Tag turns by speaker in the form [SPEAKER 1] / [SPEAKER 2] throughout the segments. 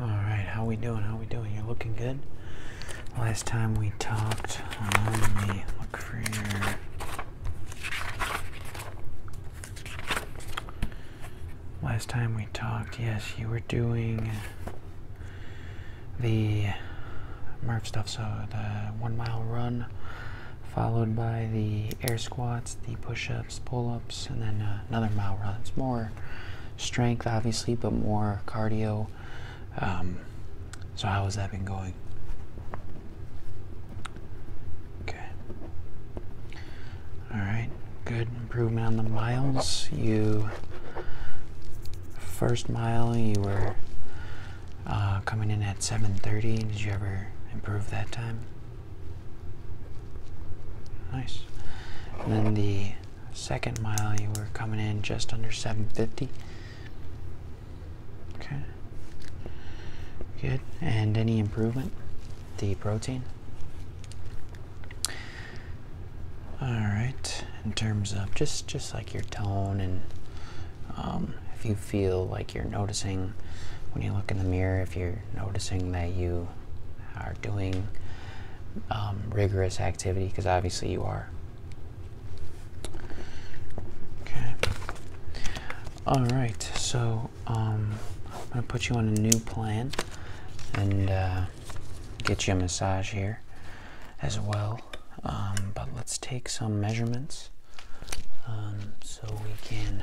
[SPEAKER 1] All right, how we doing? How we doing? You're looking good. Last time we talked, um, Last time we talked, yes, you were doing the Murph stuff, so the one mile run, followed by the air squats, the push ups pull ups, and then uh, another mile runs more strength, obviously, but more cardio. Um, so, how has that been going? Okay. All right. Good improvement on the miles. You first mile you were uh, coming in at 7:30. Did you ever improve that time? Nice. And then the second mile, you were coming in just under 750. Okay. Good. And any improvement? The protein? All right. In terms of just just like your tone and um, if you feel like you're noticing when you look in the mirror, if you're noticing that you are doing um, rigorous activity, because obviously you are. Okay. All right. So um, I'm gonna put you on a new plan and uh, get you a massage here as well. Um, but let's take some measurements so we can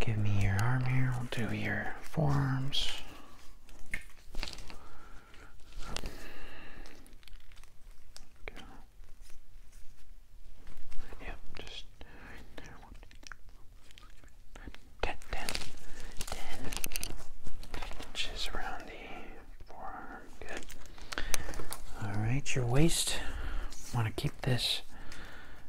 [SPEAKER 1] Give me your arm here. We'll do your forearms. Yep, just right Inches around the forearm. Good. All right, your waist. Want to keep this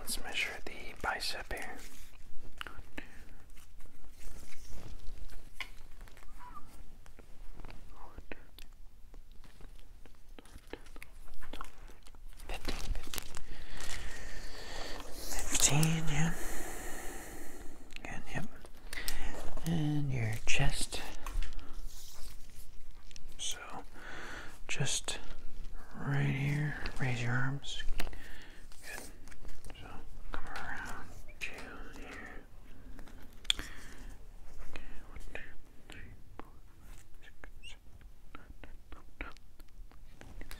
[SPEAKER 1] let's measure the bicep here. Fifteen, fifteen. Fifteen, yeah. yep. And your chest. So just right here. Raise your arms. Good. So come around Okay, one, two, three, four, five, six,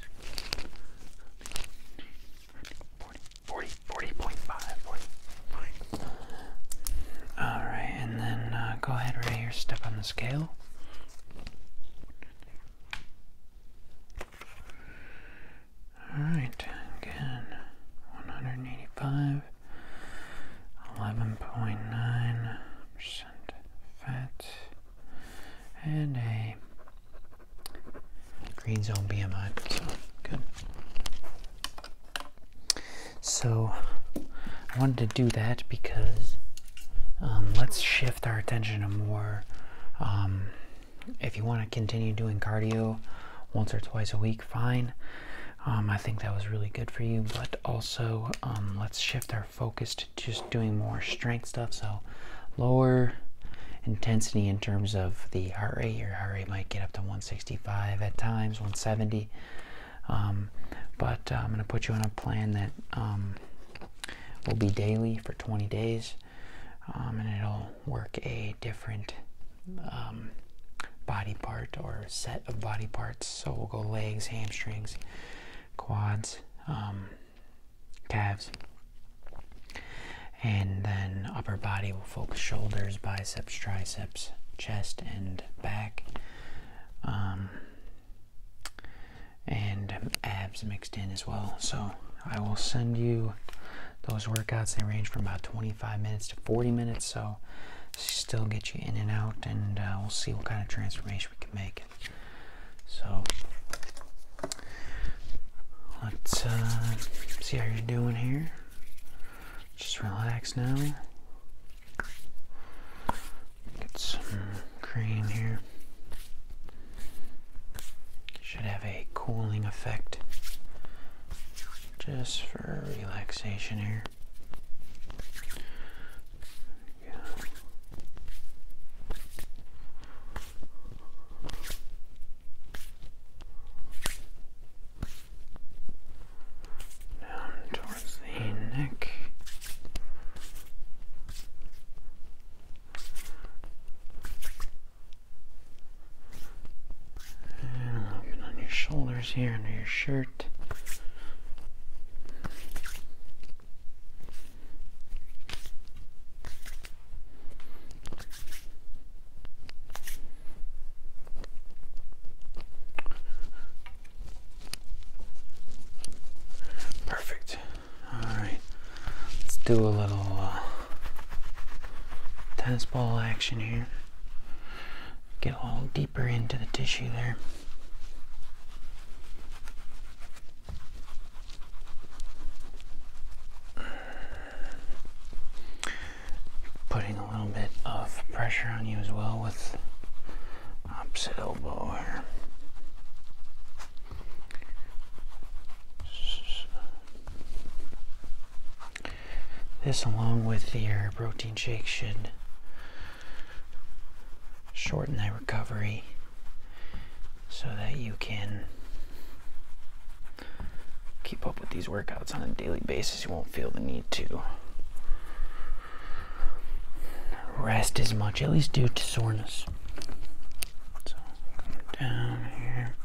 [SPEAKER 1] seven, eight, nine, Alright, and then go ahead right here, step on the scale. Alright, again, 185, 11.9% fat, and a green zone BMI, so good. So, I wanted to do that because um, let's shift our attention to more. Um, if you want to continue doing cardio once or twice a week, fine. Um, I think that was really good for you, but also let's shift our focus to just doing more strength stuff. So lower intensity in terms of the heart rate. Your heart rate might get up to 165 at times, 170. Um, but uh, I'm going to put you on a plan that um, will be daily for 20 days, um, and it'll work a different body part or set of body parts. So we'll go legs, hamstrings, quads, calves, and then upper body we will focus shoulders, biceps, triceps, chest, and back and abs mixed in as well. So I will send you those workouts. They range from about 25 minutes to 40 minutes. So still get you in and out, and uh, we'll see what kind of transformation we can make. So let's uh, see how you're doing here. Just relax now. Get some cream here. Should have a cooling effect just for relaxation here down towards the neck. And on your shoulders here, under your shirt. Perfect. All right. Let's do a little uh, tennis ball action here. Get a little deeper into the tissue there putting a little bit of pressure on you as well with opposite elbow here. This along with your protein shake should shorten that recovery so that you can keep up with these workouts on a daily basis places you won't feel the need to rest as much, at least due to soreness. So, down here.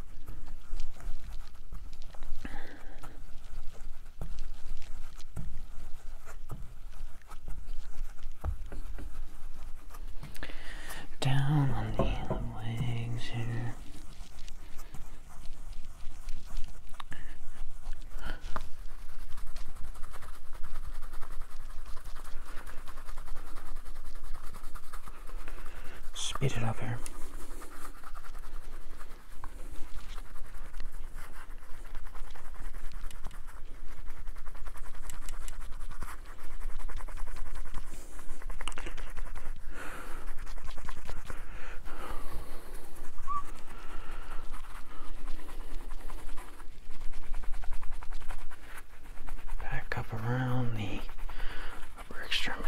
[SPEAKER 1] Down on the legs here. Speed it up here. Back up around the upper extremities.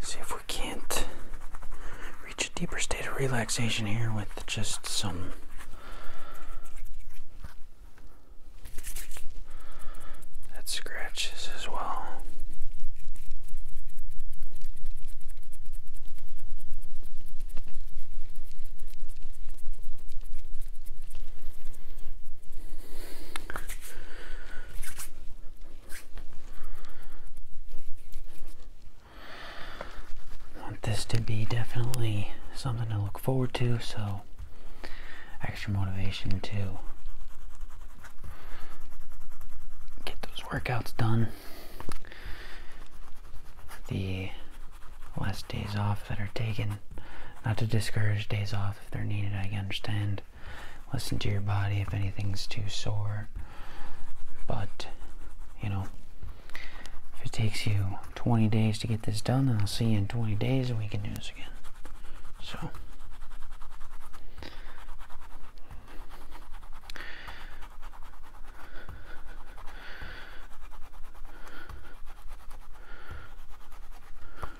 [SPEAKER 1] See if we can't reach a deeper state of relaxation here with just some that scratches as well want this to be definitely something to look forward to, so extra motivation to get those workouts done. The last days off that are taken, not to discourage days off if they're needed, I understand listen to your body if anything's too sore. But, you know, if it takes you 20 days to get this done, then I'll see you in 20 days and we can do this again. So.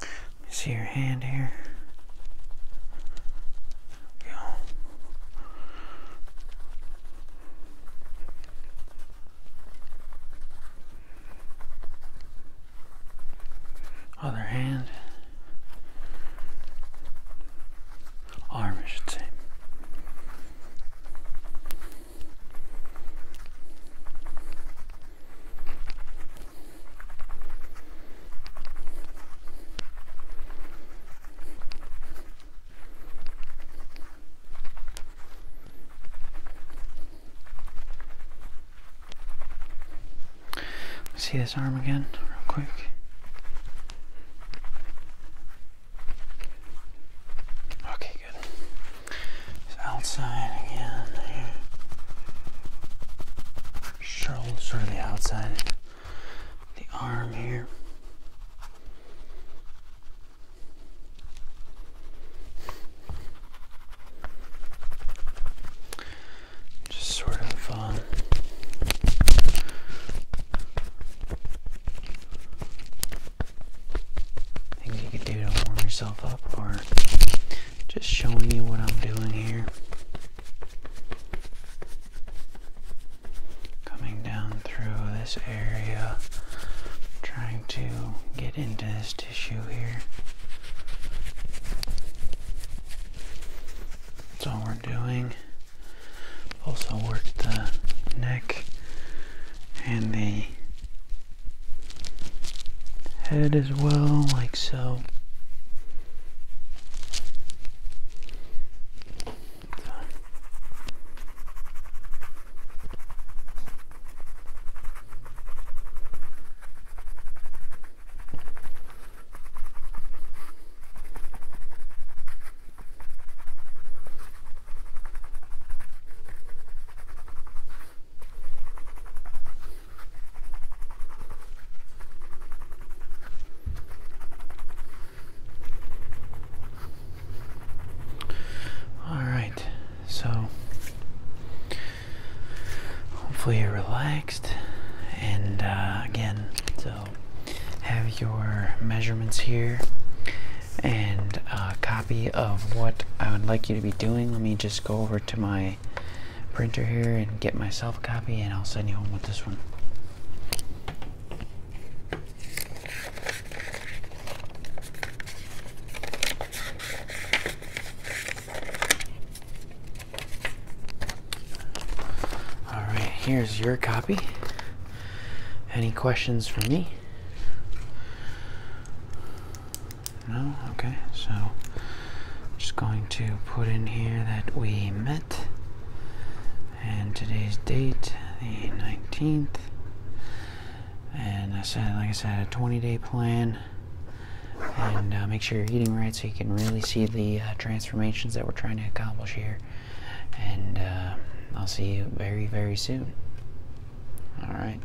[SPEAKER 1] Let me see your hand here. go. Other hand. Arm, I should say. See this arm again, real quick. Okay, good. It's outside again here. sort of the outside. The arm here. Just sort of um, things you could do to warm yourself up or just showing you what I'm doing here. Coming down through this area, trying to get into this tissue here. That's all we're doing also work the neck and the head as well, like so. All right, so hopefully you're relaxed, and uh, again, so have your measurements here and a copy of what I would like you to be doing. Let me just go over to my printer here and get myself a copy and I'll send you home with this one. All right, here's your copy. Any questions for me? No? Okay, so just going to put in here that we met and today's date, the 19th. And I said, like I said, a 20 day plan. And uh, make sure you're eating right so you can really see the uh, transformations that we're trying to accomplish here. And uh, I'll see you very, very soon. All right.